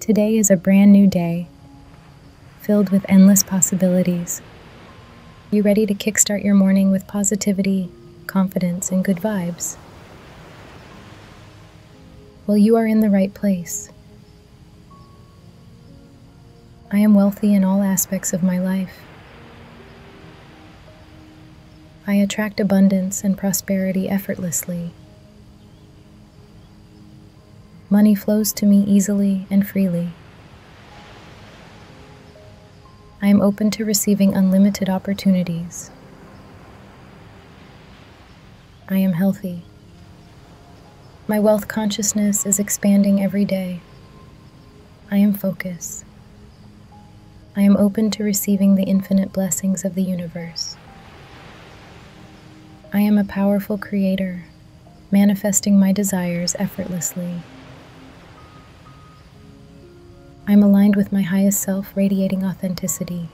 Today is a brand new day, filled with endless possibilities. You ready to kickstart your morning with positivity, confidence, and good vibes? Well, you are in the right place. I am wealthy in all aspects of my life. I attract abundance and prosperity effortlessly. Money flows to me easily and freely. I am open to receiving unlimited opportunities. I am healthy. My wealth consciousness is expanding every day. I am focus. I am open to receiving the infinite blessings of the universe. I am a powerful creator, manifesting my desires effortlessly. I am aligned with my highest self, radiating authenticity.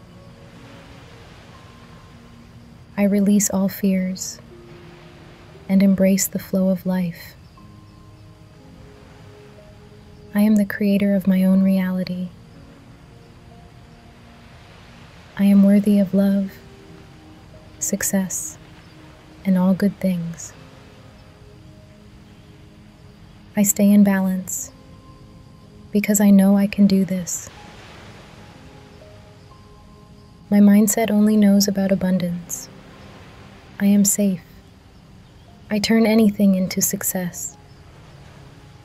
I release all fears and embrace the flow of life. I am the creator of my own reality. I am worthy of love, success, and all good things. I stay in balance because I know I can do this. My mindset only knows about abundance. I am safe. I turn anything into success.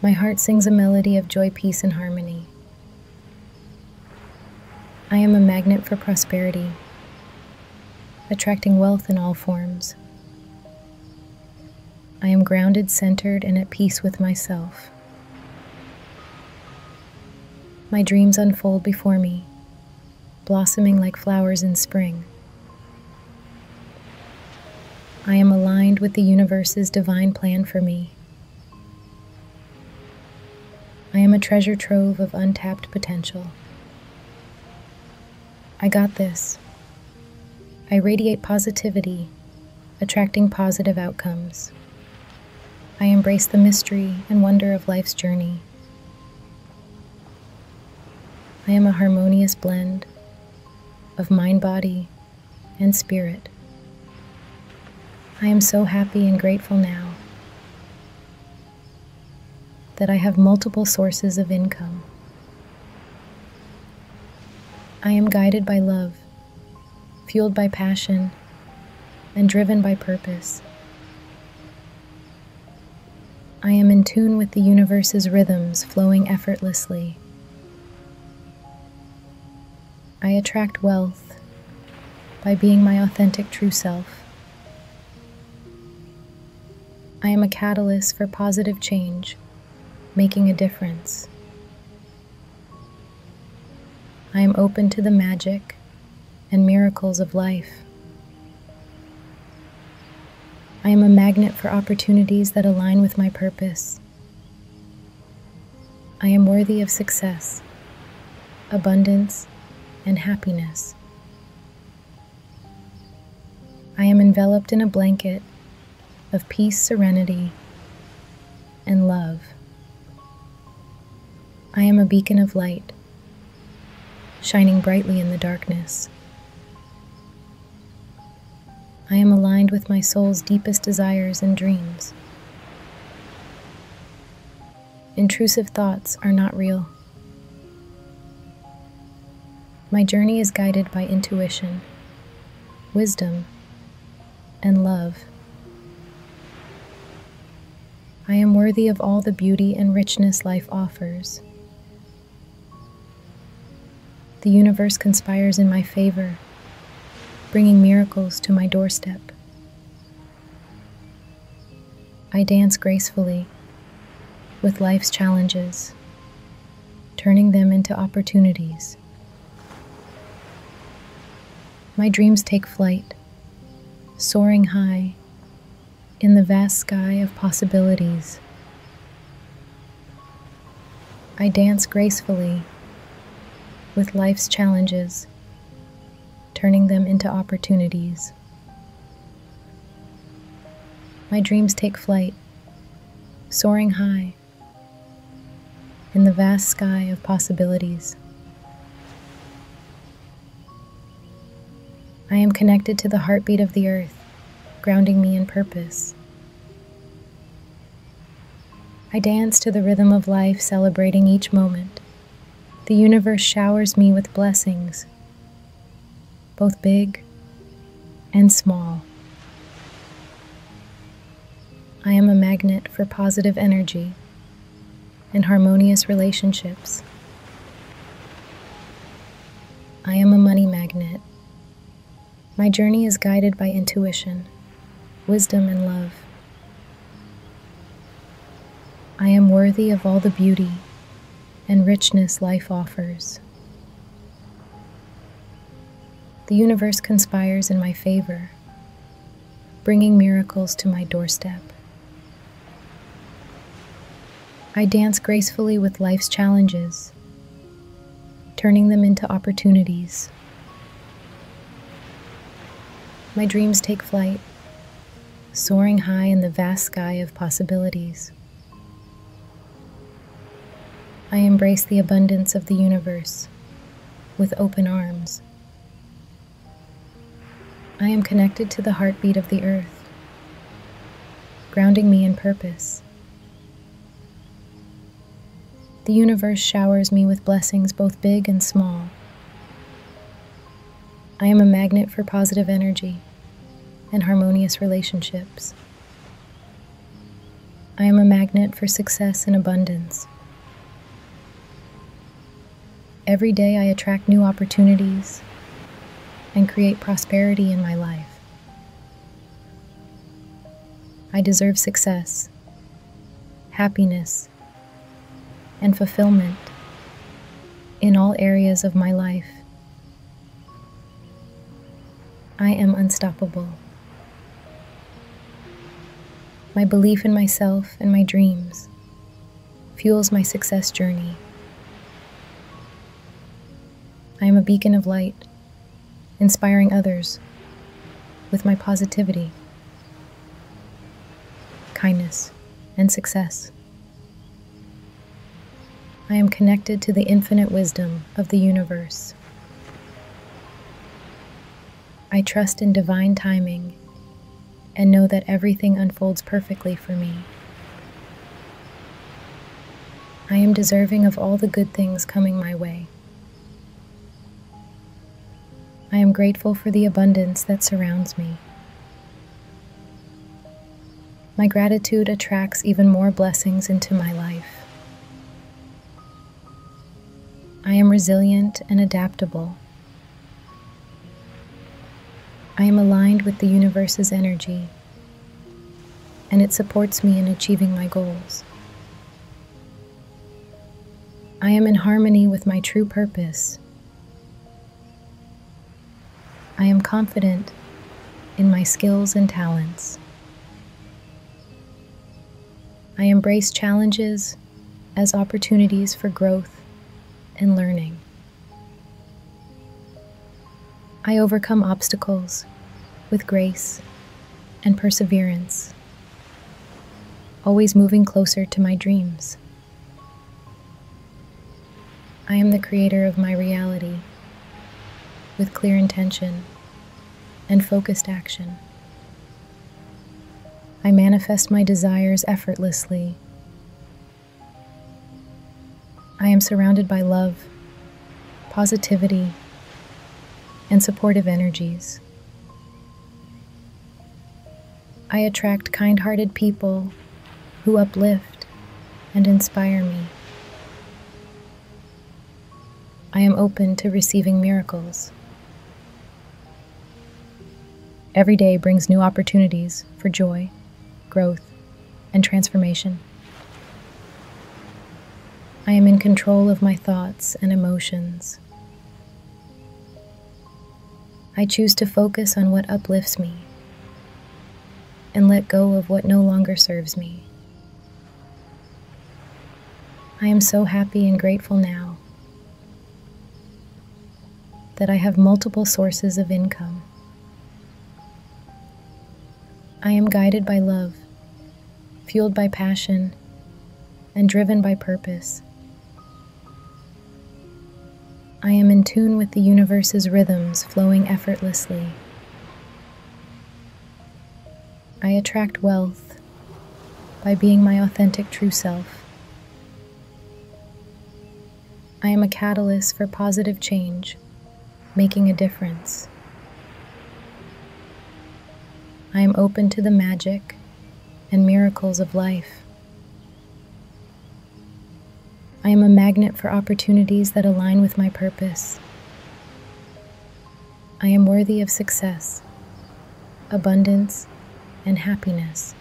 My heart sings a melody of joy, peace, and harmony. I am a magnet for prosperity, attracting wealth in all forms. I am grounded, centered, and at peace with myself. My dreams unfold before me, blossoming like flowers in spring. I am aligned with the universe's divine plan for me. I am a treasure trove of untapped potential. I got this. I radiate positivity, attracting positive outcomes. I embrace the mystery and wonder of life's journey. I am a harmonious blend of mind, body, and spirit. I am so happy and grateful now that I have multiple sources of income. I am guided by love fueled by passion and driven by purpose. I am in tune with the universe's rhythms flowing effortlessly. I attract wealth by being my authentic true self. I am a catalyst for positive change, making a difference. I am open to the magic and miracles of life. I am a magnet for opportunities that align with my purpose. I am worthy of success, abundance, and happiness. I am enveloped in a blanket of peace, serenity, and love. I am a beacon of light, shining brightly in the darkness. I am aligned with my soul's deepest desires and dreams. Intrusive thoughts are not real. My journey is guided by intuition, wisdom, and love. I am worthy of all the beauty and richness life offers. The universe conspires in my favor, bringing miracles to my doorstep. I dance gracefully with life's challenges, turning them into opportunities my dreams take flight, soaring high in the vast sky of possibilities. I dance gracefully with life's challenges, turning them into opportunities. My dreams take flight, soaring high in the vast sky of possibilities. I am connected to the heartbeat of the earth, grounding me in purpose. I dance to the rhythm of life, celebrating each moment. The universe showers me with blessings, both big and small. I am a magnet for positive energy, and harmonious relationships. I am a money magnet. My journey is guided by intuition, wisdom, and love. I am worthy of all the beauty and richness life offers. The universe conspires in my favor bringing miracles to my doorstep. I dance gracefully with life's challenges, turning them into opportunities. My dreams take flight, soaring high in the vast sky of possibilities. I embrace the abundance of the universe with open arms, I am connected to the heartbeat of the earth, grounding me in purpose. The universe showers me with blessings both big and small. I am a magnet for positive energy and harmonious relationships. I am a magnet for success and abundance. Every day I attract new opportunities and create prosperity in my life. I deserve success, happiness, and fulfillment in all areas of my life. I am unstoppable. My belief in myself and my dreams fuels my success journey. I am a beacon of light, inspiring others with my positivity, kindness, and success. I am connected to the infinite wisdom of the universe. I trust in divine timing and know that everything unfolds perfectly for me. I am deserving of all the good things coming my way. I am grateful for the abundance that surrounds me. My gratitude attracts even more blessings into my life. I am resilient and adaptable. I am aligned with the universe's energy, and it supports me in achieving my goals. I am in harmony with my true purpose. I am confident in my skills and talents. I embrace challenges as opportunities for growth and learning. I overcome obstacles with grace and perseverance, always moving closer to my dreams. I am the creator of my reality with clear intention and focused action. I manifest my desires effortlessly. I am surrounded by love, positivity, and supportive energies. I attract kind hearted people who uplift and inspire me. I am open to receiving miracles. Every day brings new opportunities for joy, growth, and transformation. I am in control of my thoughts and emotions. I choose to focus on what uplifts me and let go of what no longer serves me. I am so happy and grateful now that I have multiple sources of income. I am guided by love, fueled by passion, and driven by purpose. I am in tune with the universe's rhythms flowing effortlessly. I attract wealth, by being my authentic true self. I am a catalyst for positive change, making a difference. I am open to the magic and miracles of life. I am a magnet for opportunities that align with my purpose. I am worthy of success abundance, and happiness.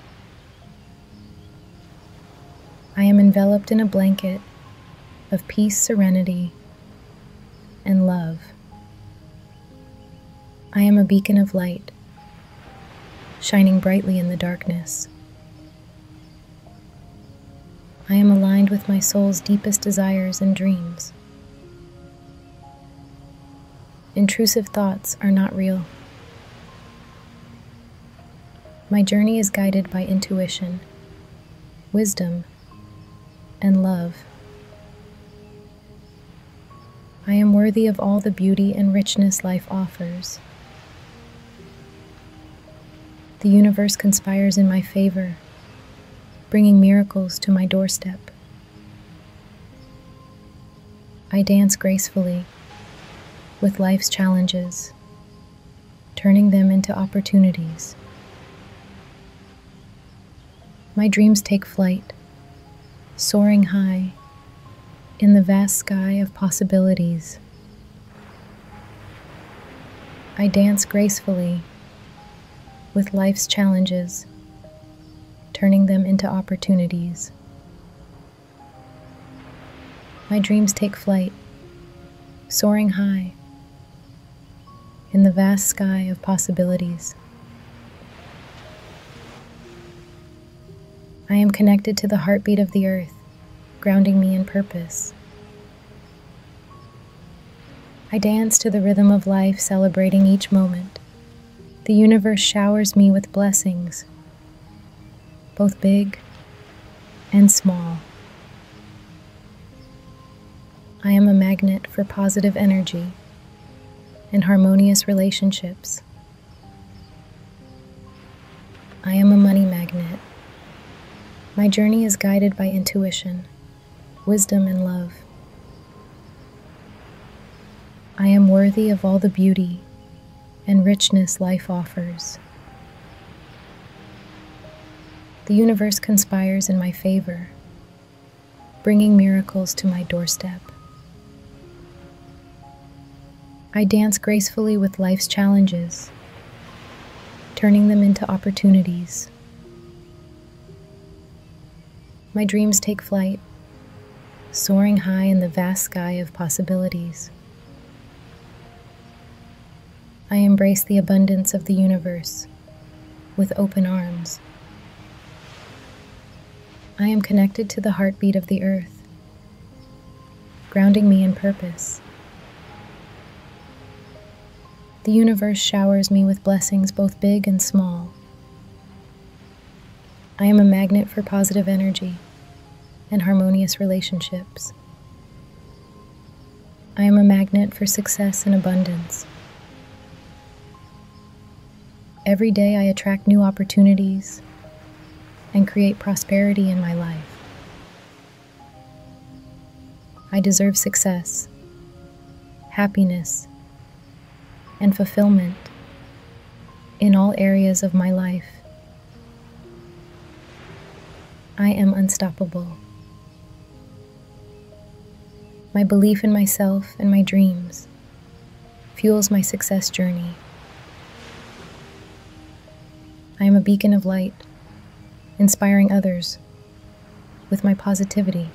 I am enveloped in a blanket of peace, serenity, and love. I am a beacon of light, shining brightly in the darkness. I am aligned with my soul's deepest desires and dreams. Intrusive thoughts are not real. My journey is guided by intuition, wisdom, and love. I am worthy of all the beauty and richness life offers. The universe conspires in my favor, bringing miracles to my doorstep. I dance gracefully with life's challenges, turning them into opportunities. My dreams take flight, soaring high in the vast sky of possibilities. I dance gracefully with life's challenges, turning them into opportunities. My dreams take flight, soaring high in the vast sky of possibilities. I am connected to the heartbeat of the earth, grounding me in purpose. I dance to the rhythm of life, celebrating each moment, the universe showers me with blessings, both big and small. I am a magnet for positive energy and harmonious relationships. I am a money magnet. My journey is guided by intuition, wisdom, and love. I am worthy of all the beauty and richness life offers. The universe conspires in my favor, bringing miracles to my doorstep. I dance gracefully with life's challenges, turning them into opportunities. My dreams take flight, soaring high in the vast sky of possibilities. I embrace the abundance of the universe with open arms. I am connected to the heartbeat of the earth, grounding me in purpose. The universe showers me with blessings both big and small. I am a magnet for positive energy and harmonious relationships. I am a magnet for success and abundance. Every day I attract new opportunities and create prosperity in my life. I deserve success, happiness, and fulfillment in all areas of my life. I am unstoppable. My belief in myself and my dreams fuels my success journey. I am a beacon of light, inspiring others with my positivity,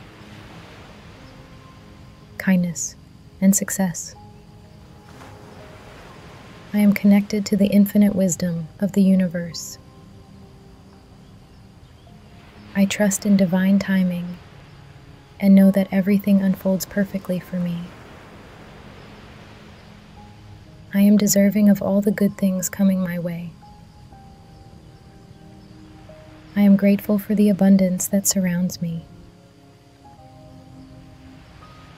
kindness, and success. I am connected to the infinite wisdom of the universe. I trust in divine timing and know that everything unfolds perfectly for me. I am deserving of all the good things coming my way. I am grateful for the abundance that surrounds me.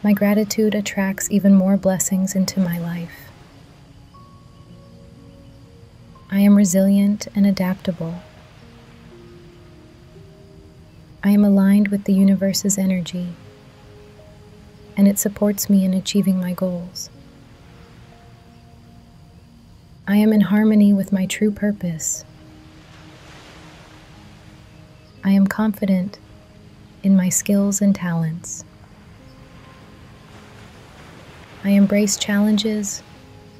My gratitude attracts even more blessings into my life. I am resilient and adaptable. I am aligned with the universe's energy, and it supports me in achieving my goals. I am in harmony with my true purpose. I am confident in my skills and talents. I embrace challenges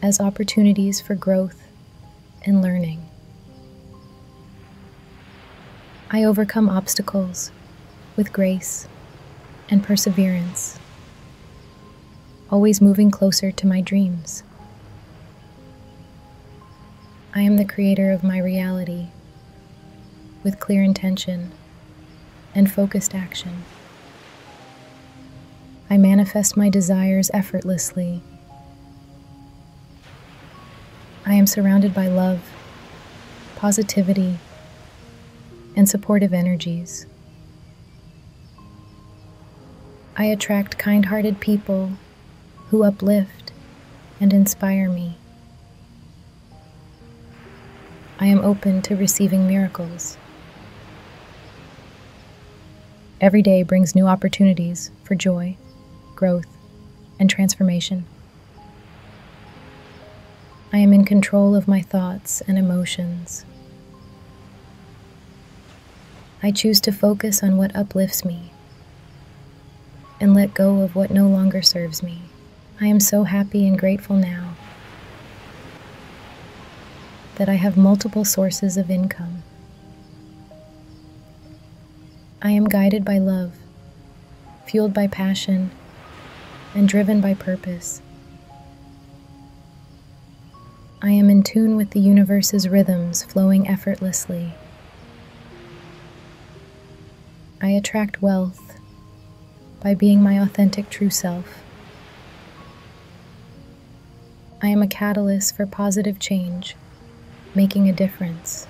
as opportunities for growth and learning. I overcome obstacles with grace and perseverance, always moving closer to my dreams. I am the creator of my reality with clear intention and focused action. I manifest my desires effortlessly. I am surrounded by love, positivity, and supportive energies. I attract kind hearted people who uplift and inspire me. I am open to receiving miracles. Every day brings new opportunities for joy, growth, and transformation. I am in control of my thoughts and emotions. I choose to focus on what uplifts me and let go of what no longer serves me. I am so happy and grateful now that I have multiple sources of income. I am guided by love, fueled by passion, and driven by purpose. I am in tune with the universe's rhythms flowing effortlessly. I attract wealth by being my authentic true self. I am a catalyst for positive change, making a difference.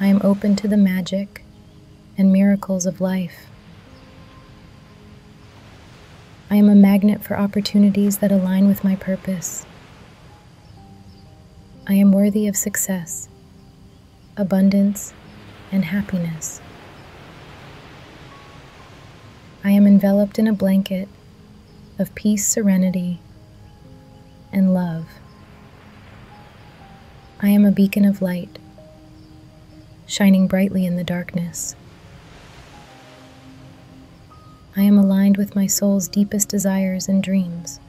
I am open to the magic and miracles of life. I am a magnet for opportunities that align with my purpose. I am worthy of success, abundance, and happiness. I am enveloped in a blanket of peace, serenity, and love. I am a beacon of light, shining brightly in the darkness. I am aligned with my soul's deepest desires and dreams.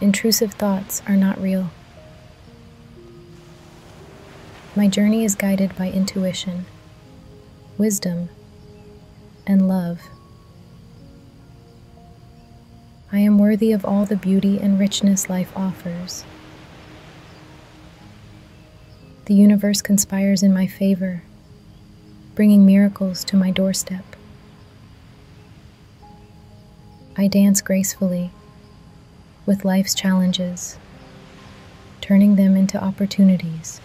Intrusive thoughts are not real. My journey is guided by intuition, wisdom, and love. I am worthy of all the beauty and richness life offers. The universe conspires in my favor, bringing miracles to my doorstep. I dance gracefully with life's challenges, turning them into opportunities.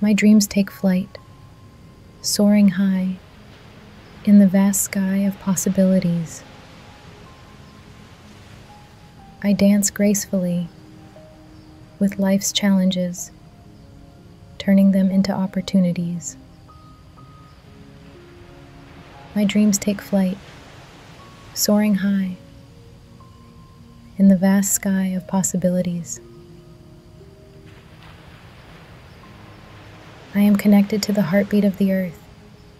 My dreams take flight, soaring high in the vast sky of possibilities. I dance gracefully with life's challenges, turning them into opportunities. My dreams take flight, soaring high in the vast sky of possibilities. I am connected to the heartbeat of the earth,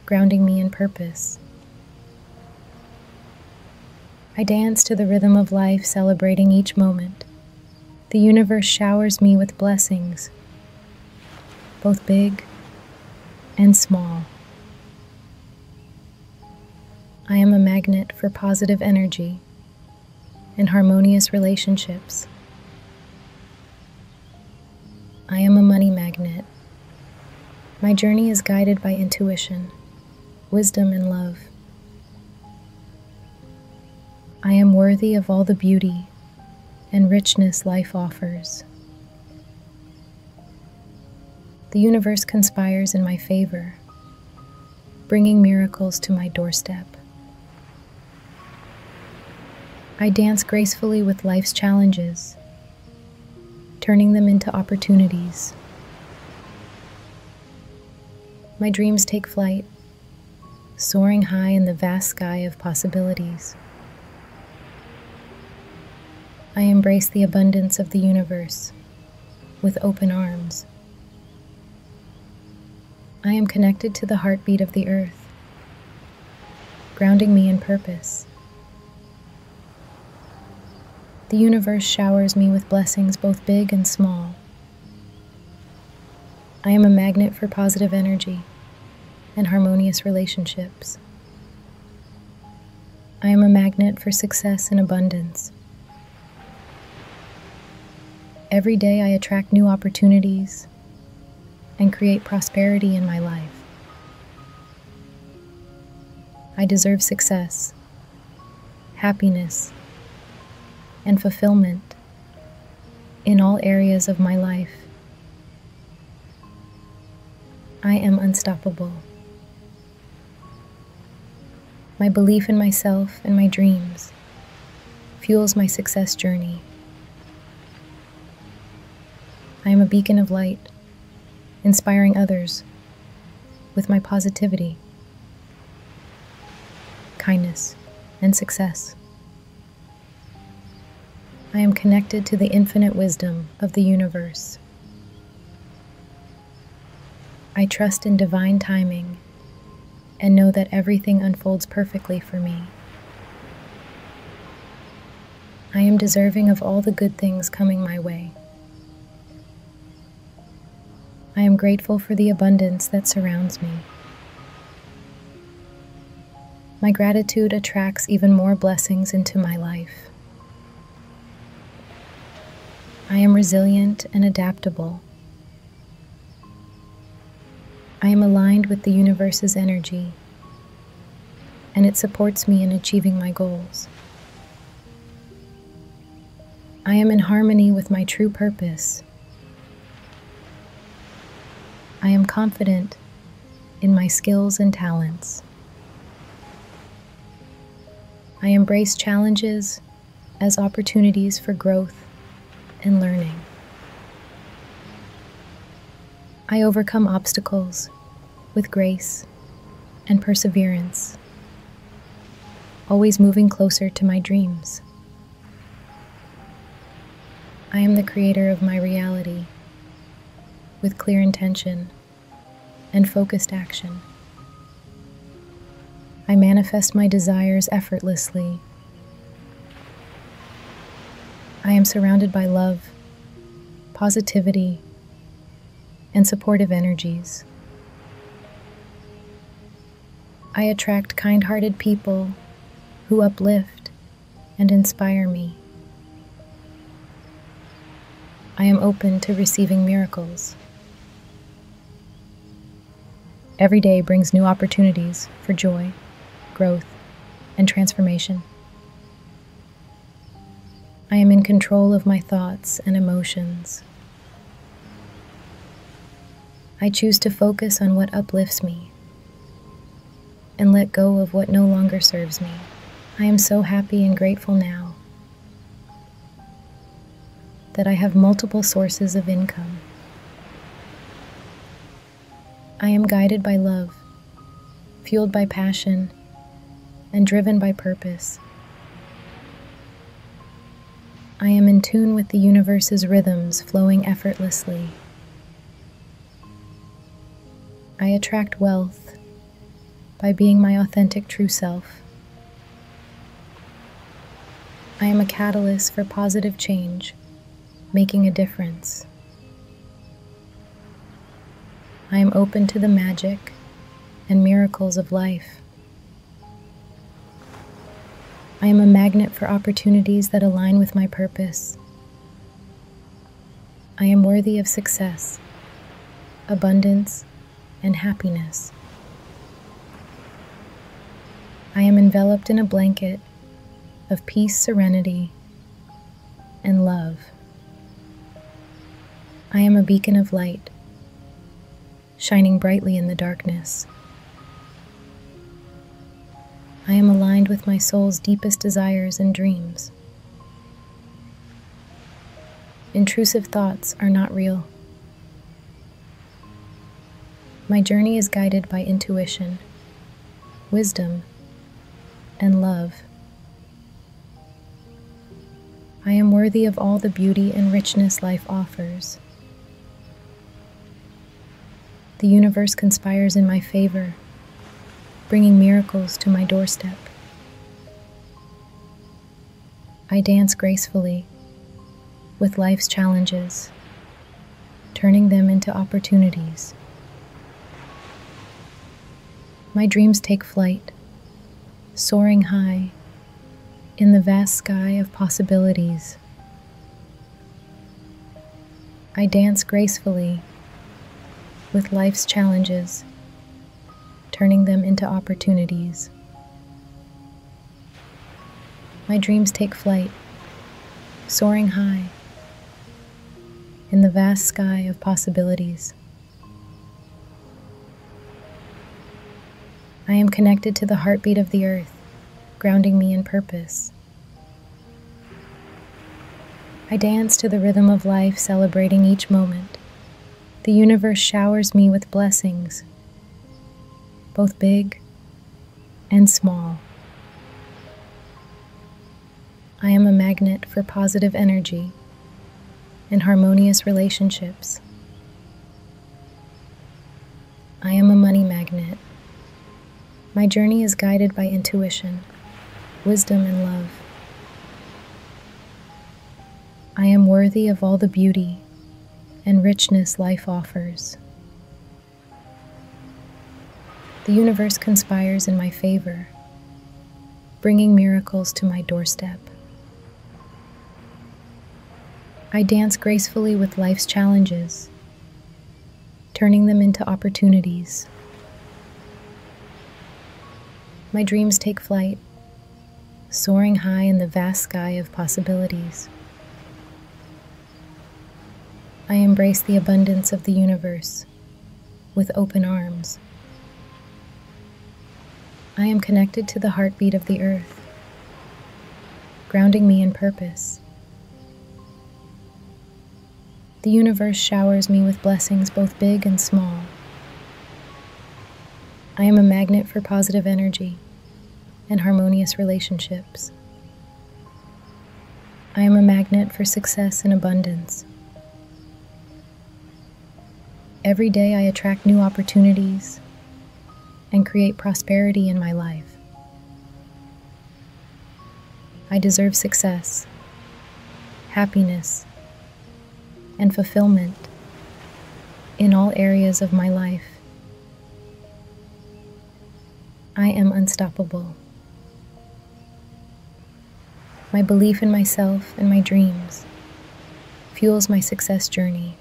grounding me in purpose. I dance to the rhythm of life, celebrating each moment. The universe showers me with blessings, both big and small. I am a magnet for positive energy and harmonious relationships. I am a money magnet. My journey is guided by intuition, wisdom, and love. I am worthy of all the beauty and richness life offers. The universe conspires in my favor, bringing miracles to my doorstep. I dance gracefully with life's challenges, turning them into opportunities. My dreams take flight, soaring high in the vast sky of possibilities. I embrace the abundance of the universe with open arms. I am connected to the heartbeat of the earth, grounding me in purpose. The universe showers me with blessings both big and small. I am a magnet for positive energy and harmonious relationships. I am a magnet for success and abundance. Every day I attract new opportunities and create prosperity in my life. I deserve success, happiness, and fulfillment in all areas of my life. I am unstoppable. My belief in myself and my dreams fuels my success journey. I am a beacon of light, inspiring others with my positivity, kindness, and success. I am connected to the infinite wisdom of the universe. I trust in divine timing and know that everything unfolds perfectly for me. I am deserving of all the good things coming my way. I am grateful for the abundance that surrounds me. My gratitude attracts even more blessings into my life. I am resilient and adaptable. I am aligned with the universe's energy and it supports me in achieving my goals. I am in harmony with my true purpose. I am confident in my skills and talents. I embrace challenges as opportunities for growth and learning. I overcome obstacles with grace and perseverance, always moving closer to my dreams. I am the creator of my reality with clear intention and focused action. I manifest my desires effortlessly. I am surrounded by love positivity, and supportive energies. I attract kind hearted people who uplift and inspire me. I am open to receiving miracles. Every day brings new opportunities for joy, growth, and transformation. I am in control of my thoughts and emotions. I choose to focus on what uplifts me and let go of what no longer serves me. I am so happy and grateful now that I have multiple sources of income. I am guided by love, fueled by passion, and driven by purpose. I am in tune with the universe's rhythms flowing effortlessly. I attract wealth by being my authentic true self. I am a catalyst for positive change, making a difference. I am open to the magic and miracles of life. I am a magnet for opportunities that align with my purpose. I am worthy of success, abundance, and happiness. I am enveloped in a blanket of peace, serenity, and love. I am a beacon of light, shining brightly in the darkness. I am aligned with my soul's deepest desires and dreams. Intrusive thoughts are not real. My journey is guided by intuition wisdom, and love. I am worthy of all the beauty and richness life offers. The universe conspires in my favor, bringing miracles to my doorstep. I dance gracefully with life's challenges turning them into opportunities. My dreams take flight, soaring high in the vast sky of possibilities. I dance gracefully with life's challenges, turning them into opportunities. My dreams take flight, soaring high in the vast sky of possibilities. I am connected to the heartbeat of the earth, grounding me in purpose. I dance to the rhythm of life, celebrating each moment. The universe showers me with blessings, both big and small. I am a magnet for positive energy and harmonious relationships. I am a money magnet. My journey is guided by intuition, wisdom, and love. I am worthy of all the beauty and richness life offers. The universe conspires in my favor, bringing miracles to my doorstep. I dance gracefully with life's challenges, turning them into opportunities. My dreams take flight, soaring high in the vast sky of possibilities. I embrace the abundance of the universe, with open arms. I am connected to the heartbeat of the earth, grounding me in purpose. The universe showers me with blessings both big and small. I am a magnet for positive energy and harmonious relationships. I am a magnet for success and abundance. Every day I attract new opportunities and create prosperity in my life. I deserve success, happiness, and fulfillment in all areas of my life. I am unstoppable. My belief in myself and my dreams fuels my success journey.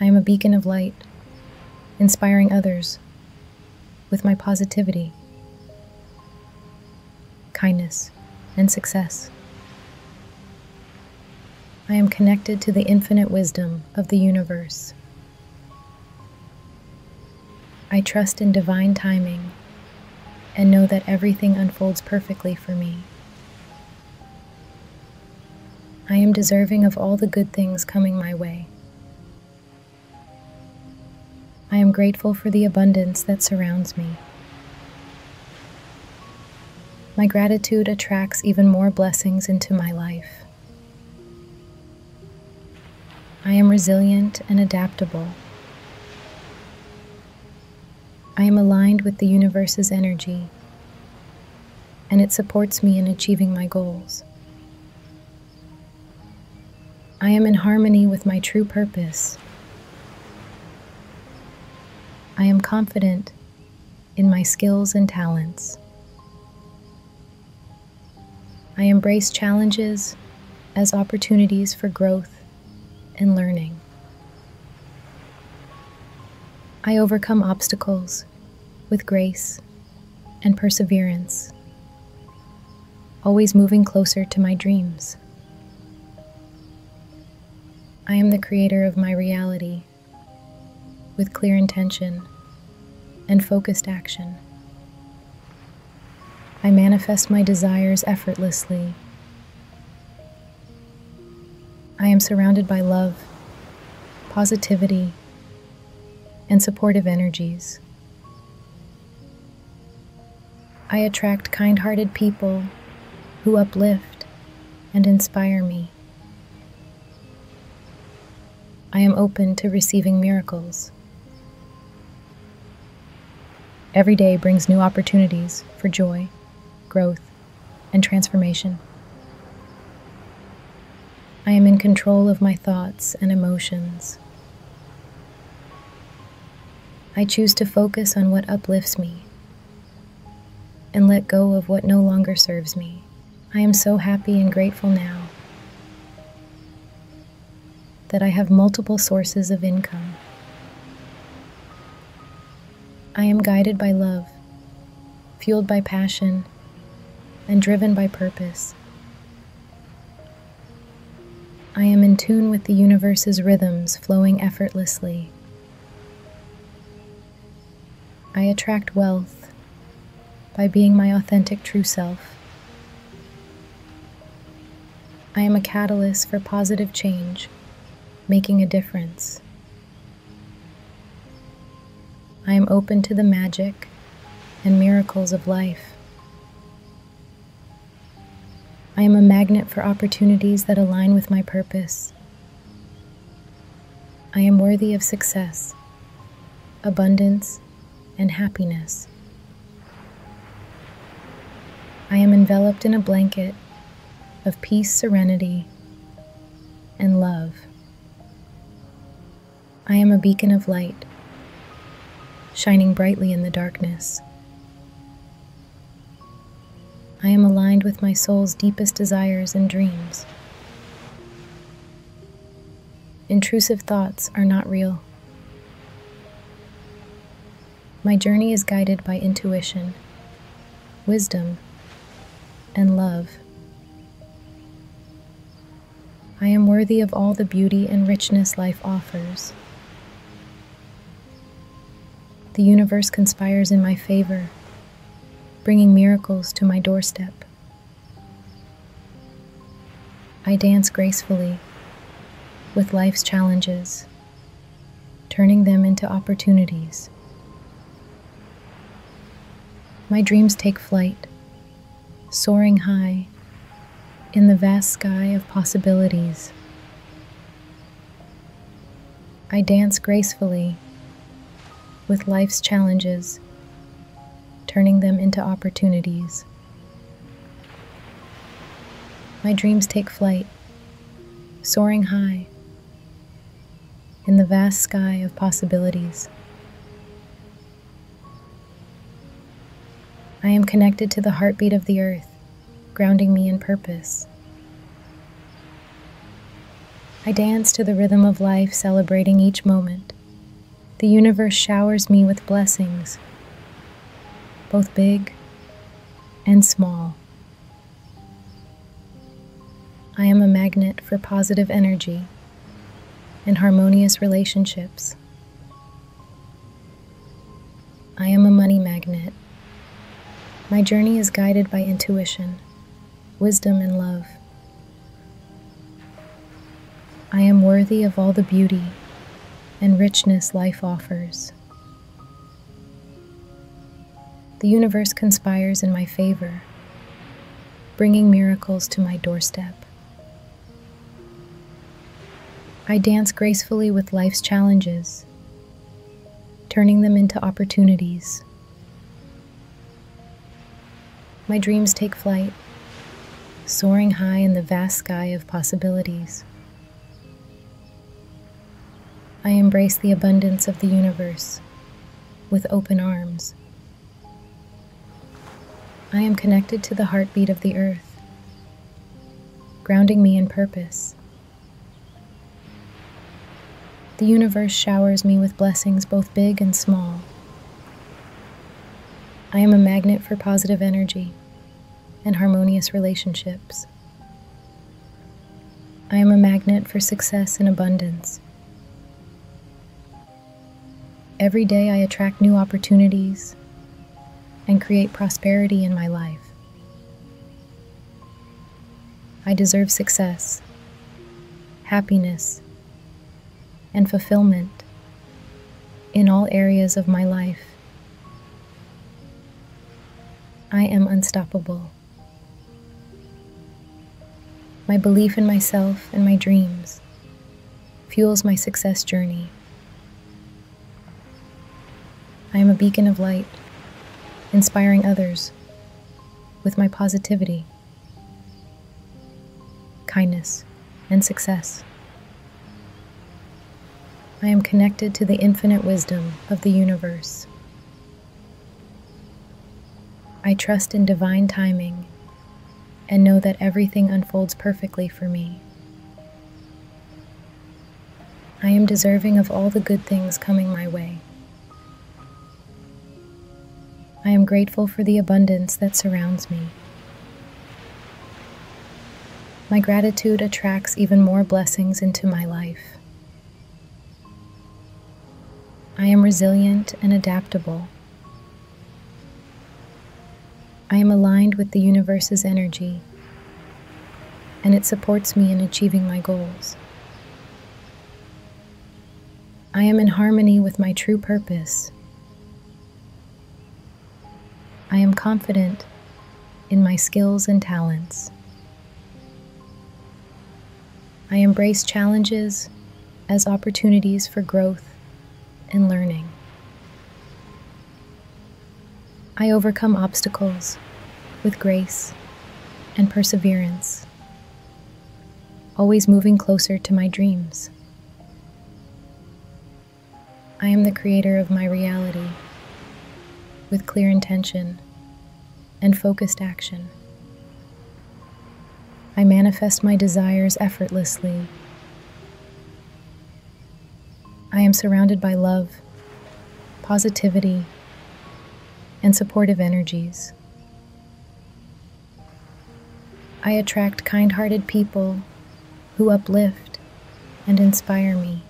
I am a beacon of light, inspiring others with my positivity, kindness, and success. I am connected to the infinite wisdom of the universe I trust in divine timing and know that everything unfolds perfectly for me. I am deserving of all the good things coming my way. I am grateful for the abundance that surrounds me. My gratitude attracts even more blessings into my life. I am resilient and adaptable. I am aligned with the universe's energy, and it supports me in achieving my goals. I am in harmony with my true purpose. I am confident in my skills and talents. I embrace challenges as opportunities for growth and learning. I overcome obstacles with grace and perseverance, always moving closer to my dreams. I am the creator of my reality with clear intention and focused action. I manifest my desires effortlessly. I am surrounded by love, positivity, and supportive energies. I attract kind hearted people who uplift and inspire me. I am open to receiving miracles. Every day brings new opportunities for joy, growth, and transformation. I am in control of my thoughts and emotions. I choose to focus on what uplifts me and let go of what no longer serves me. I am so happy and grateful now that I have multiple sources of income. I am guided by love, fueled by passion, and driven by purpose. I am in tune with the universe's rhythms flowing effortlessly. I attract wealth, by being my authentic true self. I am a catalyst for positive change, making a difference. I am open to the magic and miracles of life. I am a magnet for opportunities that align with my purpose. I am worthy of success, abundance, and happiness. I am enveloped in a blanket of peace, serenity, and love. I am a beacon of light, shining brightly in the darkness. I am aligned with my soul's deepest desires and dreams. Intrusive thoughts are not real. My journey is guided by intuition, wisdom, and love. I am worthy of all the beauty and richness life offers. The universe conspires in my favor, bringing miracles to my doorstep. I dance gracefully with life's challenges, turning them into opportunities. My dreams take flight, soaring high in the vast sky of possibilities. I dance gracefully with life's challenges, turning them into opportunities. My dreams take flight, soaring high in the vast sky of possibilities. I am connected to the heartbeat of the earth, grounding me in purpose. I dance to the rhythm of life, celebrating each moment, the universe showers me with blessings, both big and small. I am a magnet for positive energy and harmonious relationships. I am a money magnet. My journey is guided by intuition, wisdom, and love. I am worthy of all the beauty and richness life offers. The universe conspires in my favor, bringing miracles to my doorstep. I dance gracefully with life's challenges, turning them into opportunities. My dreams take flight, soaring high in the vast sky of possibilities. I embrace the abundance of the universe with open arms. I am connected to the heartbeat of the earth, grounding me in purpose. The universe showers me with blessings both big and small. I am a magnet for positive energy and harmonious relationships. I am a magnet for success and abundance. Every day I attract new opportunities and create prosperity in my life. I deserve success, happiness, and fulfillment in all areas of my life. I am unstoppable. My belief in myself and my dreams fuels my success journey. I am a beacon of light, inspiring others with my positivity kindness, and success. I am connected to the infinite wisdom of the universe. I trust in divine timing and know that everything unfolds perfectly for me. I am deserving of all the good things coming my way. I am grateful for the abundance that surrounds me. My gratitude attracts even more blessings into my life. I am resilient and adaptable. I am aligned with the universe's energy, and it supports me in achieving my goals. I am in harmony with my true purpose, I am confident in my skills and talents. I embrace challenges as opportunities for growth and learning. I overcome obstacles with grace and perseverance, always moving closer to my dreams. I am the creator of my reality with clear intention and focused action. I manifest my desires effortlessly. I am surrounded by love, positivity, and supportive energies. I attract kind hearted people who uplift and inspire me.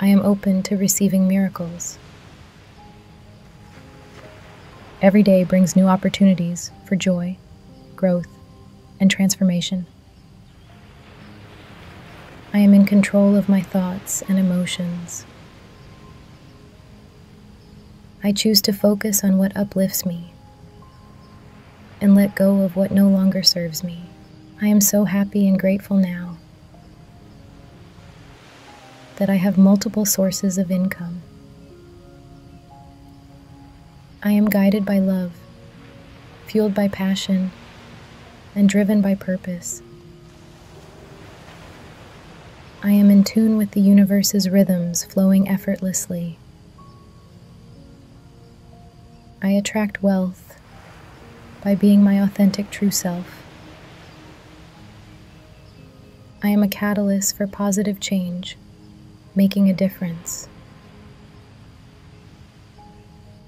I am open to receiving miracles. Every day brings new opportunities for joy, growth, and transformation. I am in control of my thoughts and emotions. I choose to focus on what uplifts me and let go of what no longer serves me. I am so happy and grateful now that I have multiple sources of income. I am guided by love, fueled by passion, and driven by purpose. I am in tune with the universe's rhythms flowing effortlessly. I attract wealth by being my authentic true self. I am a catalyst for positive change, making a difference.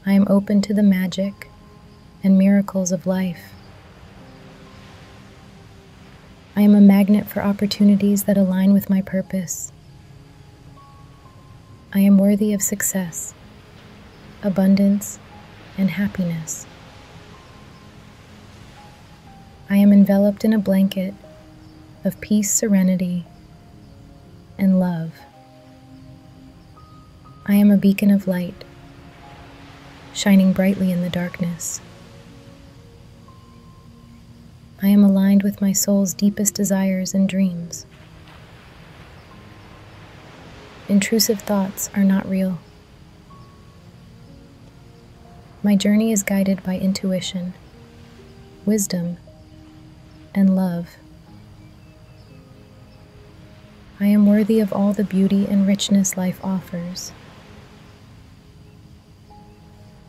I am open to the magic and miracles of life. I am a magnet for opportunities that align with my purpose. I am worthy of success, abundance, and happiness. I am enveloped in a blanket of peace, serenity, and love. I am a beacon of light, shining brightly in the darkness. I am aligned with my soul's deepest desires and dreams. Intrusive thoughts are not real. My journey is guided by intuition, wisdom, and love. I am worthy of all the beauty and richness life offers.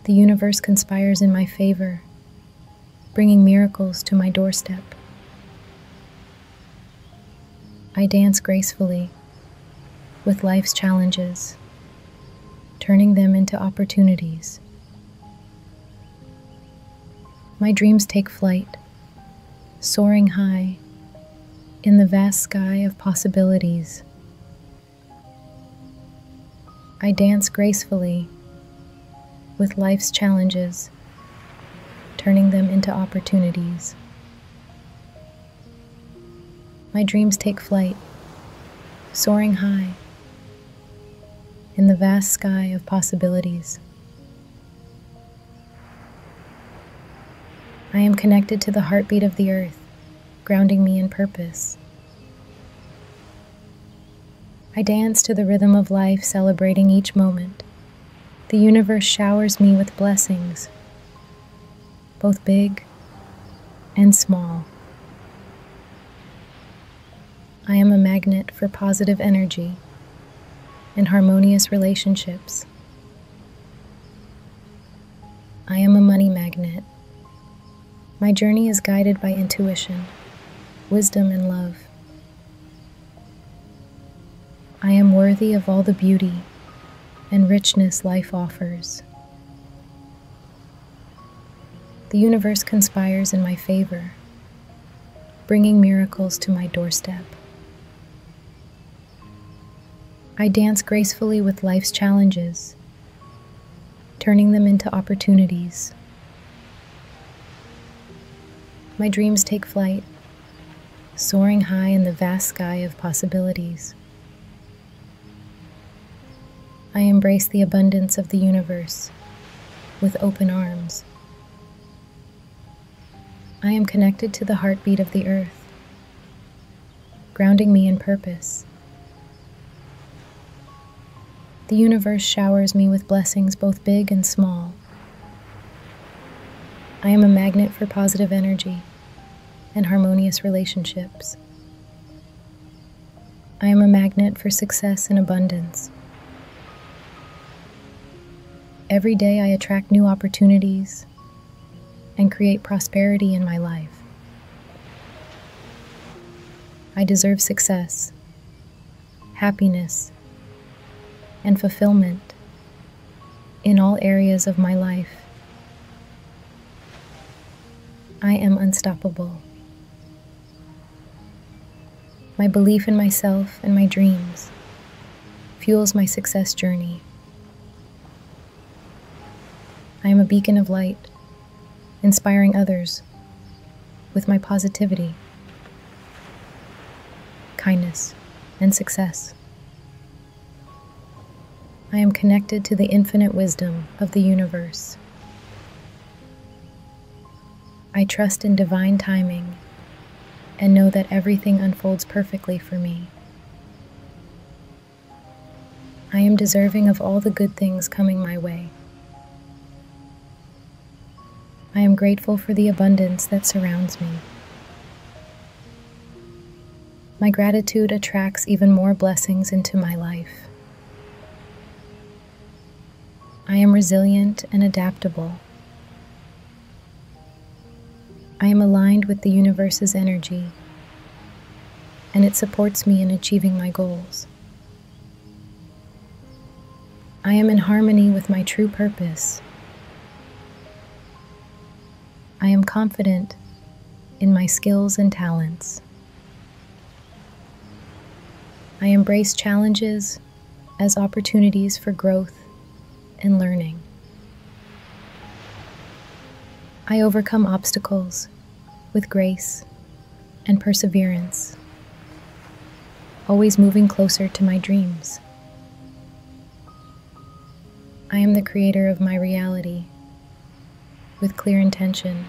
The universe conspires in my favor, bringing miracles to my doorstep. I dance gracefully with life's challenges, turning them into opportunities. My dreams take flight, soaring high in the vast sky of possibilities I dance gracefully with life's challenges, turning them into opportunities. My dreams take flight, soaring high in the vast sky of possibilities. I am connected to the heartbeat of the earth, grounding me in purpose. I dance to the rhythm of life, celebrating each moment. The universe showers me with blessings, both big and small. I am a magnet for positive energy and harmonious relationships. I am a money magnet. My journey is guided by intuition, wisdom, and love. I am worthy of all the beauty and richness life offers. The universe conspires in my favor, bringing miracles to my doorstep. I dance gracefully with life's challenges, turning them into opportunities. My dreams take flight, soaring high in the vast sky of possibilities. I embrace the abundance of the universe with open arms. I am connected to the heartbeat of the earth, grounding me in purpose. The universe showers me with blessings both big and small. I am a magnet for positive energy and harmonious relationships. I am a magnet for success and abundance. Every day I attract new opportunities, and create prosperity in my life. I deserve success, happiness, and fulfillment in all areas of my life. I am unstoppable. My belief in myself and my dreams fuels my success journey. I am a beacon of light, inspiring others with my positivity, kindness, and success. I am connected to the infinite wisdom of the universe. I trust in divine timing and know that everything unfolds perfectly for me. I am deserving of all the good things coming my way. I am grateful for the abundance that surrounds me. My gratitude attracts even more blessings into my life. I am resilient and adaptable. I am aligned with the universe's energy and it supports me in achieving my goals. I am in harmony with my true purpose. I am confident in my skills and talents. I embrace challenges as opportunities for growth and learning. I overcome obstacles with grace and perseverance, always moving closer to my dreams. I am the creator of my reality with clear intention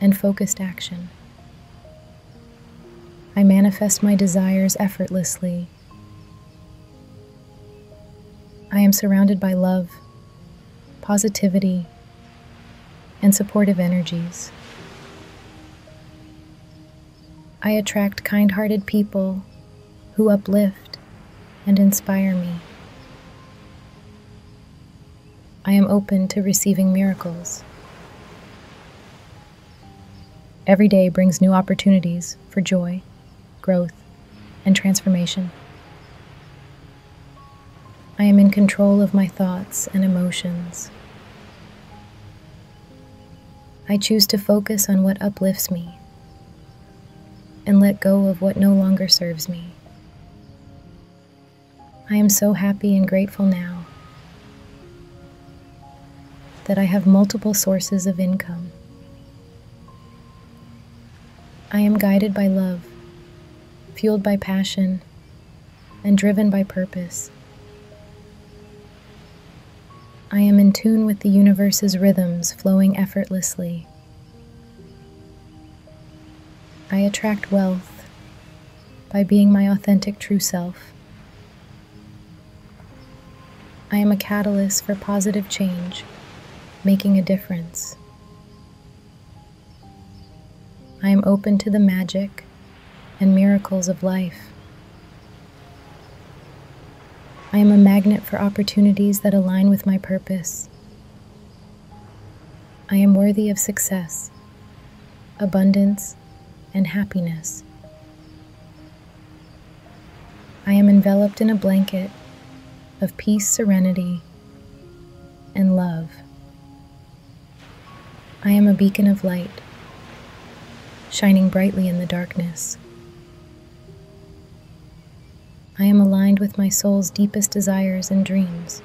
and focused action. I manifest my desires effortlessly I am surrounded by love, positivity, and supportive energies. I attract kind hearted people who uplift and inspire me. I am open to receiving miracles. Every day brings new opportunities for joy growth, and transformation. I am in control of my thoughts and emotions. I choose to focus on what uplifts me and let go of what no longer serves me. I am so happy and grateful now that I have multiple sources of income I am guided by love, fueled by passion, and driven by purpose. I am in tune with the universe's rhythms flowing effortlessly. I attract wealth by being my authentic true self. I am a catalyst for positive change, making a difference. I am open to the magic and miracles of life. I am a magnet for opportunities that align with my purpose. I am worthy of success, abundance, and happiness. I am enveloped in a blanket of peace, serenity, and love. I am a beacon of light, shining brightly in the darkness. I am aligned with my soul's deepest desires and dreams.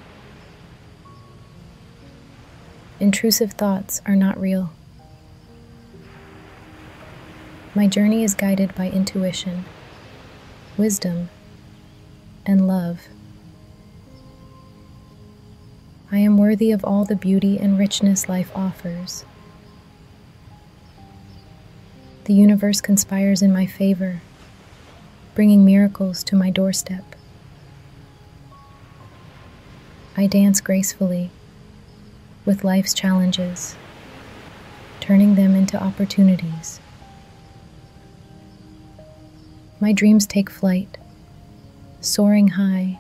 Intrusive thoughts are not real. My journey is guided by intuition, wisdom, and love. I am worthy of all the beauty and richness life offers. The universe conspires in my favor, bringing miracles to my doorstep. I dance gracefully with life's challenges, turning them into opportunities. My dreams take flight, soaring high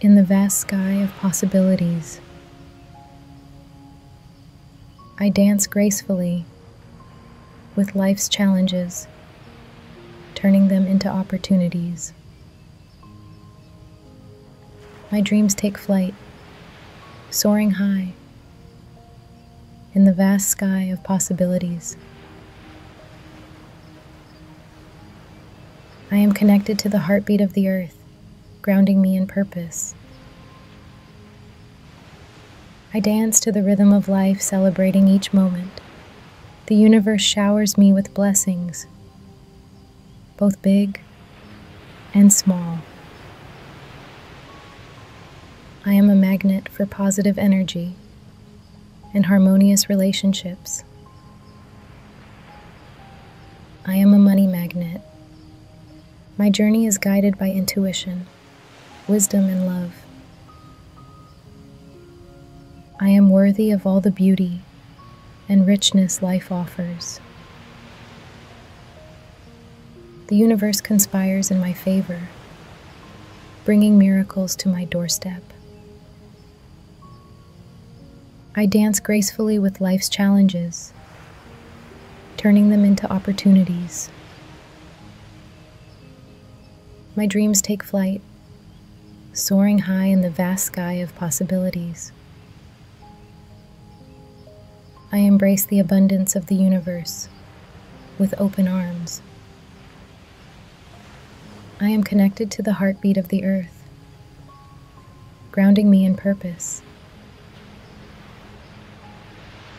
in the vast sky of possibilities. I dance gracefully with life's challenges, turning them into opportunities. My dreams take flight, soaring high in the vast sky of possibilities. I am connected to the heartbeat of the earth, grounding me in purpose. I dance to the rhythm of life, celebrating each moment. The universe showers me with blessings, both big and small. I am a magnet for positive energy and harmonious relationships. I am a money magnet. My journey is guided by intuition, wisdom, and love. I am worthy of all the beauty and richness life offers. The universe conspires in my favor, bringing miracles to my doorstep. I dance gracefully with life's challenges, turning them into opportunities. My dreams take flight, soaring high in the vast sky of possibilities. I embrace the abundance of the universe with open arms. I am connected to the heartbeat of the earth, grounding me in purpose.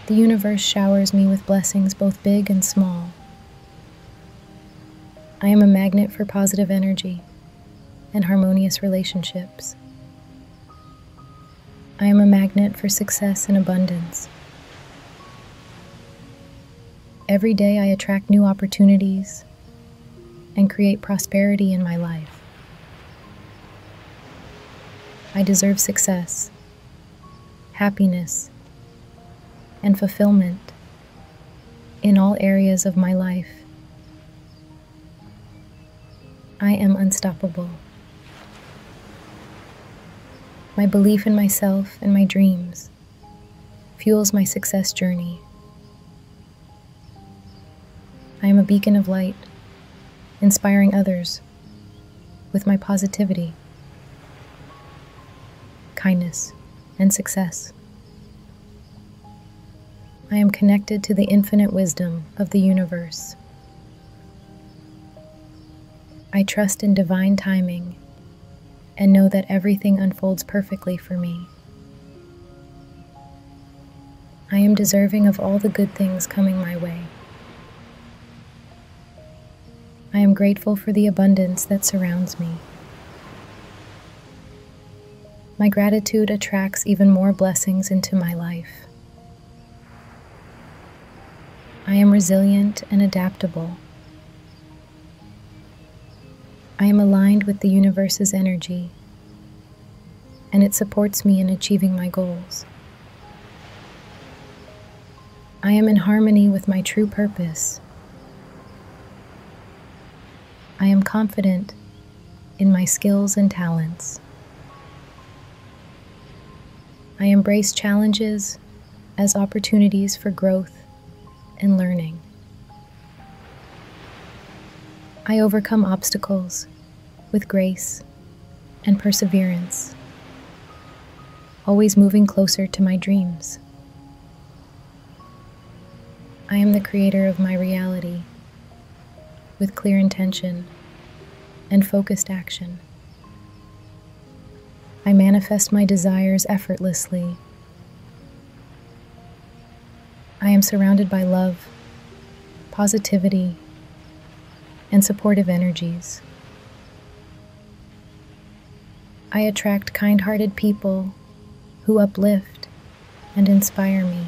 The universe showers me with blessings both big and small. I am a magnet for positive energy and harmonious relationships. I am a magnet for success and abundance. Every day I attract new opportunities and create prosperity in my life. I deserve success, happiness, and fulfillment in all areas of my life I am unstoppable. My belief in myself and my dreams fuels my success journey. I am a beacon of light, inspiring others with my positivity, kindness, and success. I am connected to the infinite wisdom of the universe I trust in divine timing and know that everything unfolds perfectly for me. I am deserving of all the good things coming my way. I am grateful for the abundance that surrounds me. My gratitude attracts even more blessings into my life. I am resilient and adaptable. I am aligned with the universe's energy, and it supports me in achieving my goals. I am in harmony with my true purpose. I am confident in my skills and talents. I embrace challenges as opportunities for growth and learning. I overcome obstacles with grace and perseverance, always moving closer to my dreams. I am the creator of my reality with clear intention and focused action. I manifest my desires effortlessly. I am surrounded by love, positivity, and supportive energies. I attract kind hearted people who uplift and inspire me.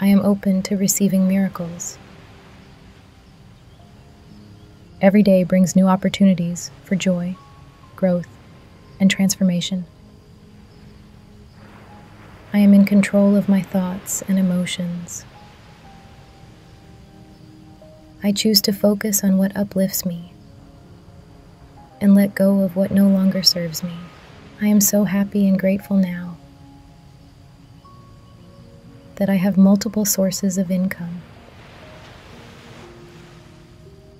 I am open to receiving miracles. Every day brings new opportunities for joy, growth, and transformation. I am in control of my thoughts and emotions. I choose to focus on what uplifts me and let go of what no longer serves me. I am so happy and grateful now that I have multiple sources of income.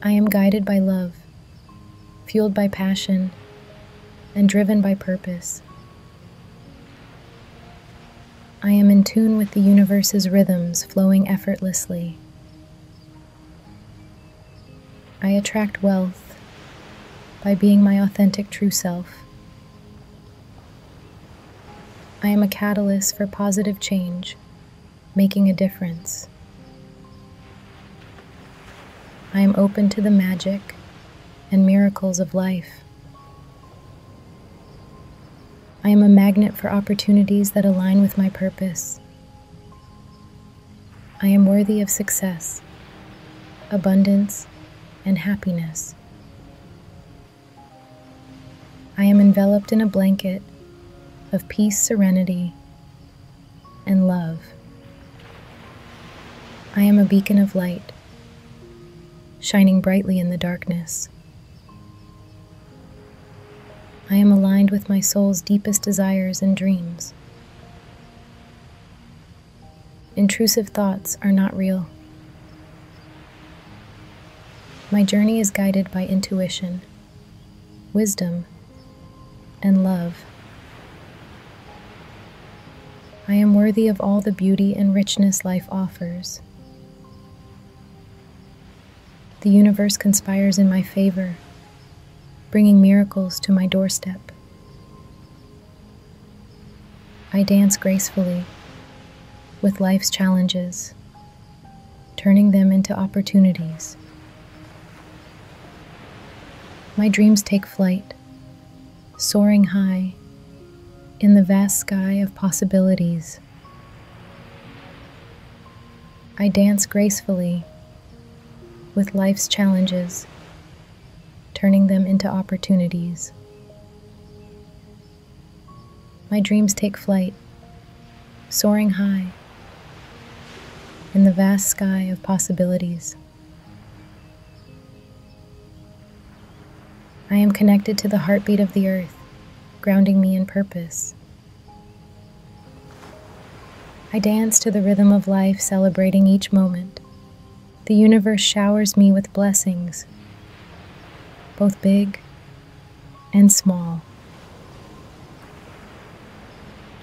I am guided by love, fueled by passion, and driven by purpose. I am in tune with the universe's rhythms flowing effortlessly. I attract wealth by being my authentic true self. I am a catalyst for positive change, making a difference. I am open to the magic and miracles of life. I am a magnet for opportunities that align with my purpose. I am worthy of success, abundance, and happiness. I am enveloped in a blanket of peace, serenity, and love. I am a beacon of light, shining brightly in the darkness. I am aligned with my soul's deepest desires and dreams. Intrusive thoughts are not real. My journey is guided by intuition, wisdom, and love. I am worthy of all the beauty and richness life offers. The universe conspires in my favor, bringing miracles to my doorstep. I dance gracefully with life's challenges, turning them into opportunities. My dreams take flight, soaring high in the vast sky of possibilities. I dance gracefully with life's challenges, turning them into opportunities. My dreams take flight, soaring high in the vast sky of possibilities. I am connected to the heartbeat of the earth, grounding me in purpose. I dance to the rhythm of life, celebrating each moment, the universe showers me with blessings, both big and small.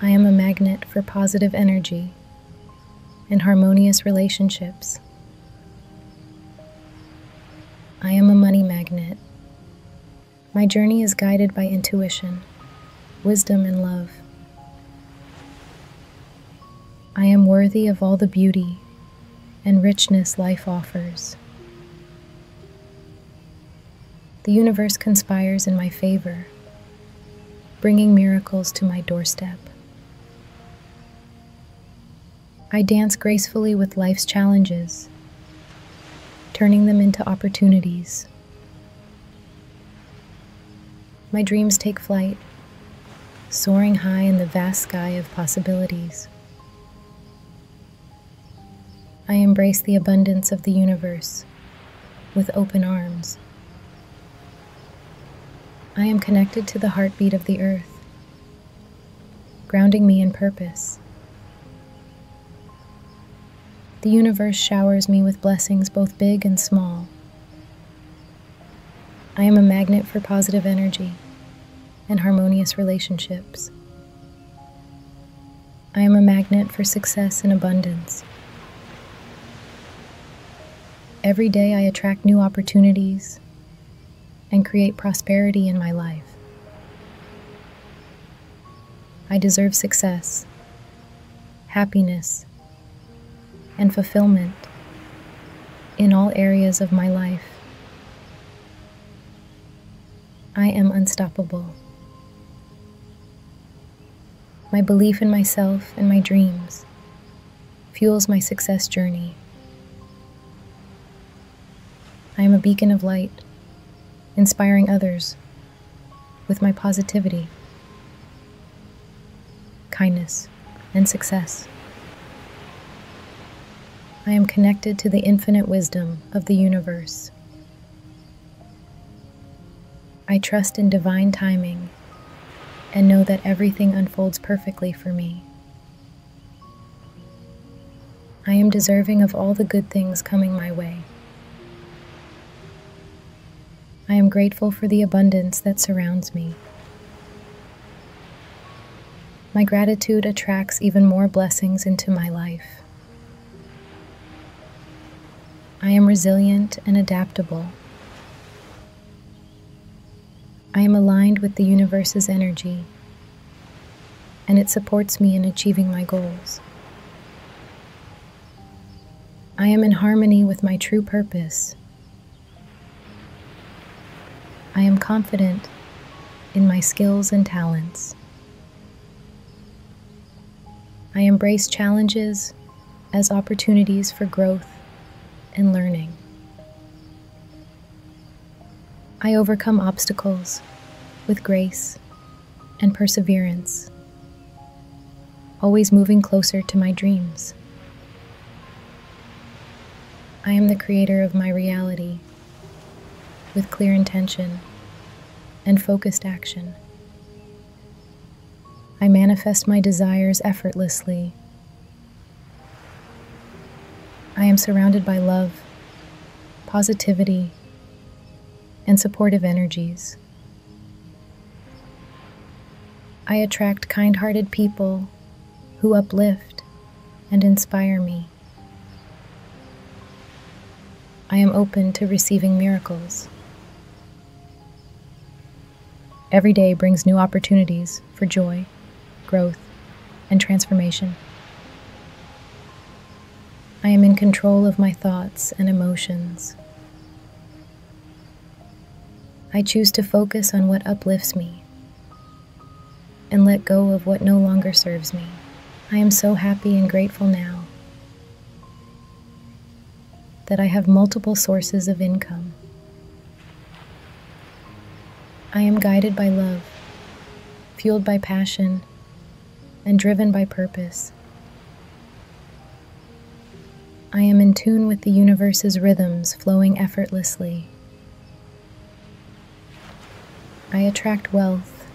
I am a magnet for positive energy and harmonious relationships. I am a money magnet. My journey is guided by intuition, wisdom, and love. I am worthy of all the beauty and richness life offers. The universe conspires in my favor, bringing miracles to my doorstep. I dance gracefully with life's challenges, turning them into opportunities my dreams take flight, soaring high in the vast sky of possibilities. I embrace the abundance of the universe with open arms. I am connected to the heartbeat of the earth, grounding me in purpose. The universe showers me with blessings both big and small, I am a magnet for positive energy and harmonious relationships. I am a magnet for success and abundance. Every day I attract new opportunities and create prosperity in my life. I deserve success, happiness, and fulfillment in all areas of my life. I am unstoppable. My belief in myself and my dreams fuels my success journey. I am a beacon of light, inspiring others with my positivity kindness, and success. I am connected to the infinite wisdom of the universe. I trust in divine timing and know that everything unfolds perfectly for me. I am deserving of all the good things coming my way. I am grateful for the abundance that surrounds me. My gratitude attracts even more blessings into my life. I am resilient and adaptable. I am aligned with the universe's energy, and it supports me in achieving my goals. I am in harmony with my true purpose. I am confident in my skills and talents. I embrace challenges as opportunities for growth and learning. I overcome obstacles with grace and perseverance always moving closer to my dreams. I am the creator of my reality with clear intention and focused action. I manifest my desires effortlessly. I am surrounded by love, positivity, and supportive energies. I attract kind hearted people who uplift and inspire me. I am open to receiving miracles. Every day brings new opportunities for joy, growth, and transformation. I am in control of my thoughts and emotions. I choose to focus on what uplifts me and let go of what no longer serves me. I am so happy and grateful now that I have multiple sources of income. I am guided by love, fueled by passion, and driven by purpose. I am in tune with the universe's rhythms flowing effortlessly. I attract wealth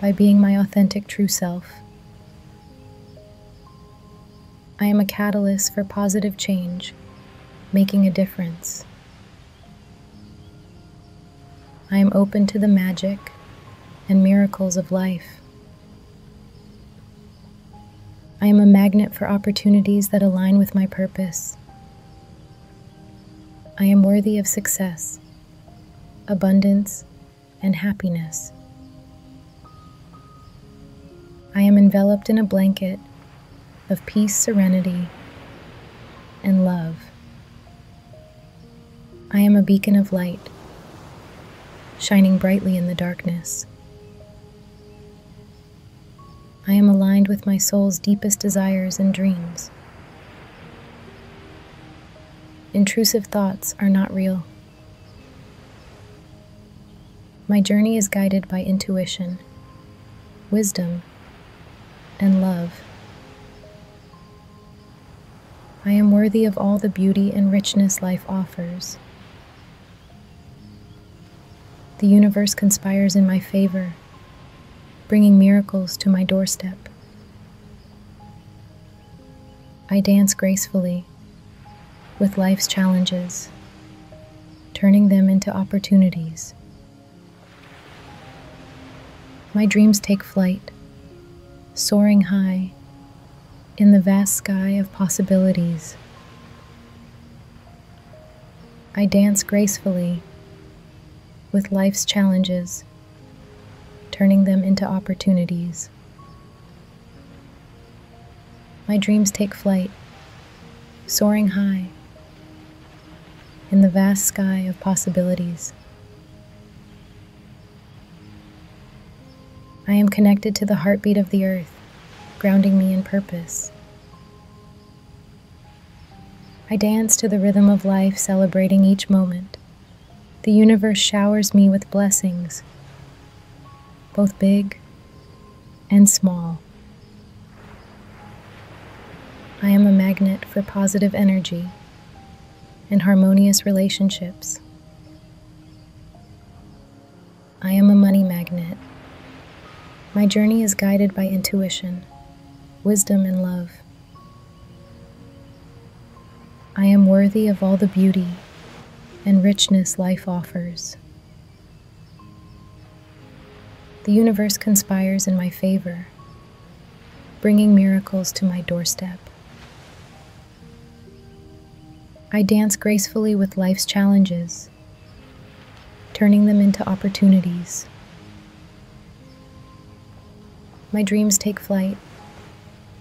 by being my authentic true self. I am a catalyst for positive change, making a difference. I am open to the magic and miracles of life. I am a magnet for opportunities that align with my purpose. I am worthy of success, abundance, and happiness. I am enveloped in a blanket of peace, serenity, and love. I am a beacon of light, shining brightly in the darkness. I am aligned with my soul's deepest desires and dreams. Intrusive thoughts are not real. My journey is guided by intuition, wisdom, and love. I am worthy of all the beauty and richness life offers. The universe conspires in my favor, bringing miracles to my doorstep. I dance gracefully with life's challenges, turning them into opportunities. My dreams take flight, soaring high in the vast sky of possibilities. I dance gracefully with life's challenges, turning them into opportunities. My dreams take flight, soaring high in the vast sky of possibilities. I am connected to the heartbeat of the earth, grounding me in purpose. I dance to the rhythm of life, celebrating each moment. The universe showers me with blessings, both big and small. I am a magnet for positive energy and harmonious relationships. I am a money magnet. My journey is guided by intuition, wisdom, and love. I am worthy of all the beauty and richness life offers. The universe conspires in my favor, bringing miracles to my doorstep. I dance gracefully with life's challenges, turning them into opportunities. My dreams take flight,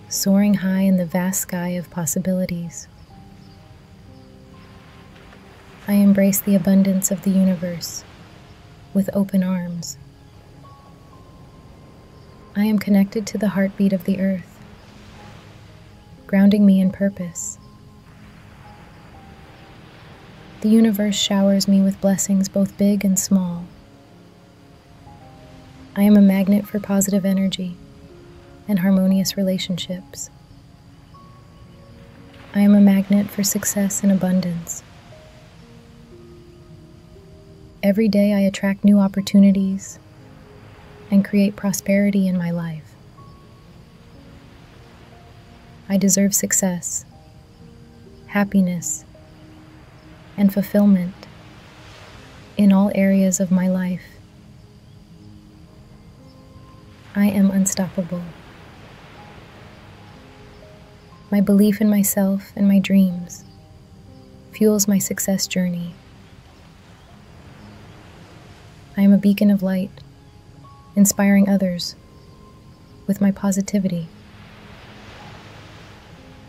soaring high in the vast sky of possibilities. I embrace the abundance of the universe with open arms. I am connected to the heartbeat of the earth, grounding me in purpose. The universe showers me with blessings both big and small. I am a magnet for positive energy and harmonious relationships. I am a magnet for success and abundance. Every day I attract new opportunities and create prosperity in my life. I deserve success, happiness, and fulfillment in all areas of my life. I am unstoppable. My belief in myself and my dreams fuels my success journey I am a beacon of light, inspiring others with my positivity,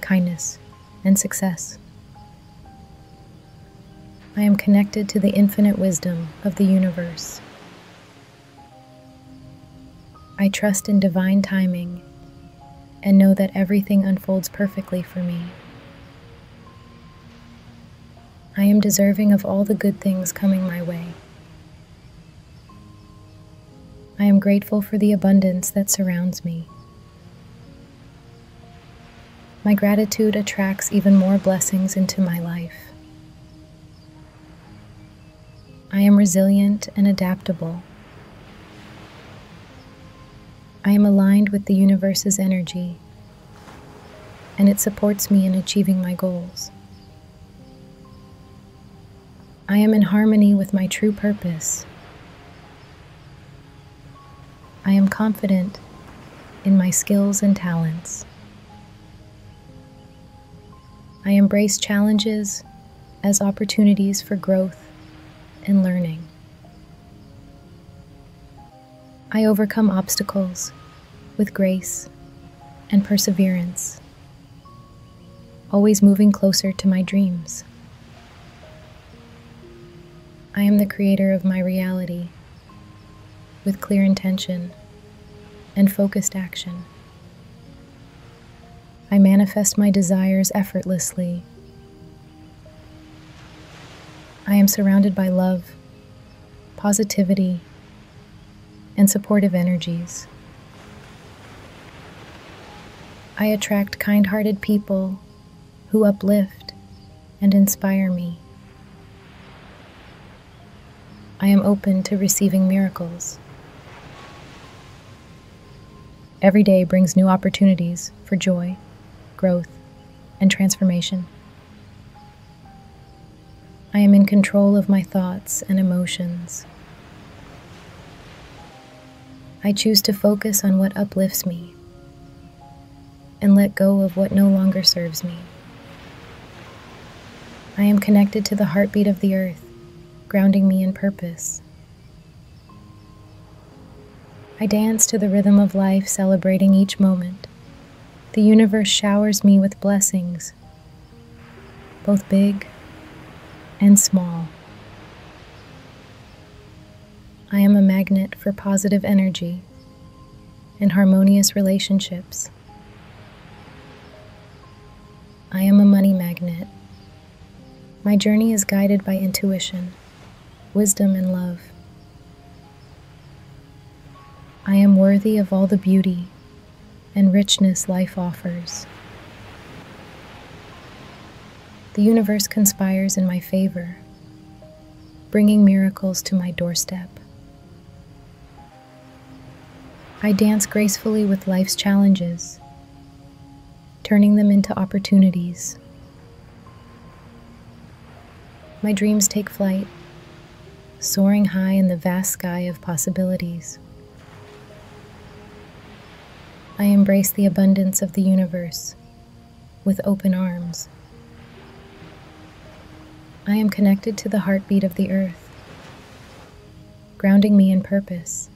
kindness, and success. I am connected to the infinite wisdom of the universe. I trust in divine timing and know that everything unfolds perfectly for me. I am deserving of all the good things coming my way. I am grateful for the abundance that surrounds me. My gratitude attracts even more blessings into my life. I am resilient and adaptable. I am aligned with the universe's energy and it supports me in achieving my goals. I am in harmony with my true purpose. I am confident in my skills and talents. I embrace challenges as opportunities for growth and learning. I overcome obstacles with grace and perseverance, always moving closer to my dreams. I am the creator of my reality with clear intention and focused action. I manifest my desires effortlessly I am surrounded by love, positivity, and supportive energies. I attract kind hearted people who uplift and inspire me. I am open to receiving miracles. Every day brings new opportunities for joy, growth, and transformation. I am in control of my thoughts and emotions. I choose to focus on what uplifts me and let go of what no longer serves me. I am connected to the heartbeat of the earth, grounding me in purpose. I dance to the rhythm of life, celebrating each moment. The universe showers me with blessings, both big and small. I am a magnet for positive energy and harmonious relationships. I am a money magnet. My journey is guided by intuition, wisdom, and love. I am worthy of all the beauty and richness life offers. The universe conspires in my favor, bringing miracles to my doorstep. I dance gracefully with life's challenges, turning them into opportunities my dreams take flight, soaring high in the vast sky of possibilities. I embrace the abundance of the universe with open arms. I am connected to the heartbeat of the earth, grounding me in purpose.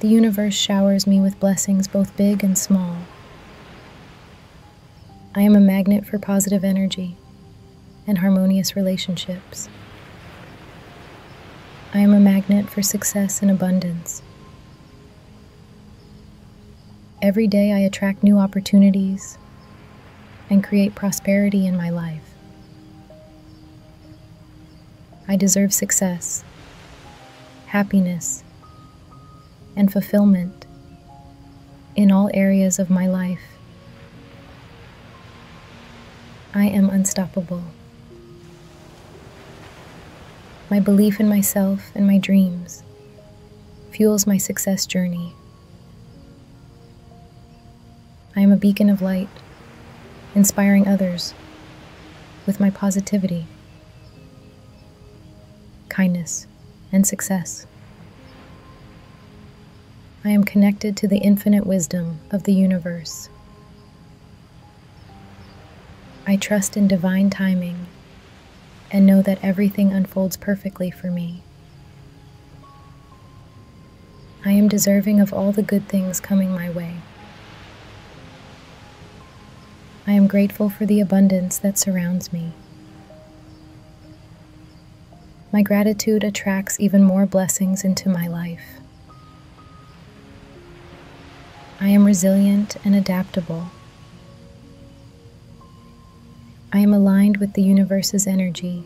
The universe showers me with blessings both big and small. I am a magnet for positive energy and harmonious relationships. I am a magnet for success and abundance. Every day I attract new opportunities and create prosperity in my life. I deserve success, happiness, and fulfillment in all areas of my life. I am unstoppable. My belief in myself and my dreams fuels my success journey. I am a beacon of light, inspiring others with my positivity kindness, and success. I am connected to the infinite wisdom of the universe. I trust in divine timing and know that everything unfolds perfectly for me. I am deserving of all the good things coming my way. I am grateful for the abundance that surrounds me. My gratitude attracts even more blessings into my life. I am resilient and adaptable. I am aligned with the universe's energy,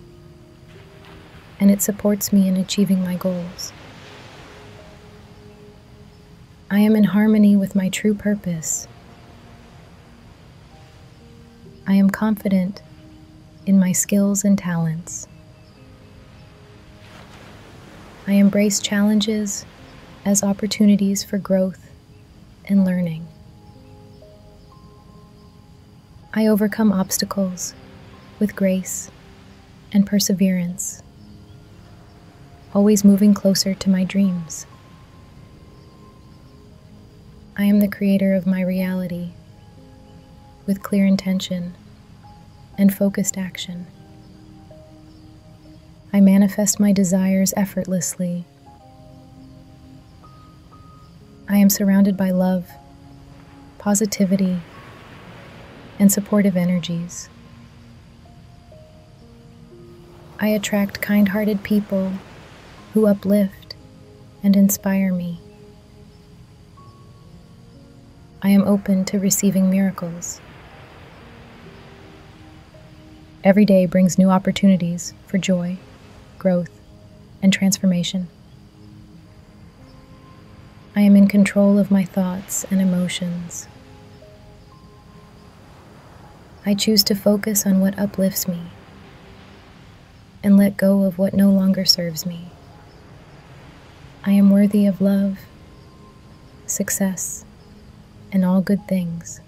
and it supports me in achieving my goals. I am in harmony with my true purpose. I am confident in my skills and talents. I embrace challenges as opportunities for growth and learning. I overcome obstacles with grace and perseverance, always moving closer to my dreams. I am the creator of my reality with clear intention and focused action. I manifest my desires effortlessly. I am surrounded by love, positivity, and supportive energies. I attract kind hearted people who uplift and inspire me. I am open to receiving miracles. Every day brings new opportunities for joy, growth, and transformation. I am in control of my thoughts and emotions. I choose to focus on what uplifts me and let go of what no longer serves me. I am worthy of love, success, and all good things.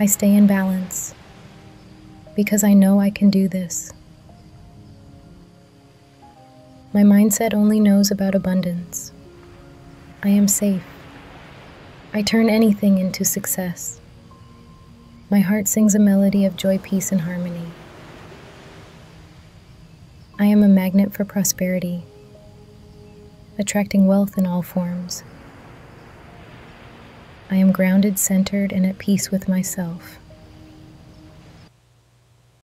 I stay in balance because I know I can do this. My mindset only knows about abundance. I am safe. I turn anything into success. My heart sings a melody of joy, peace, and harmony. I am a magnet for prosperity, attracting wealth in all forms. I am grounded, centered, and at peace with myself.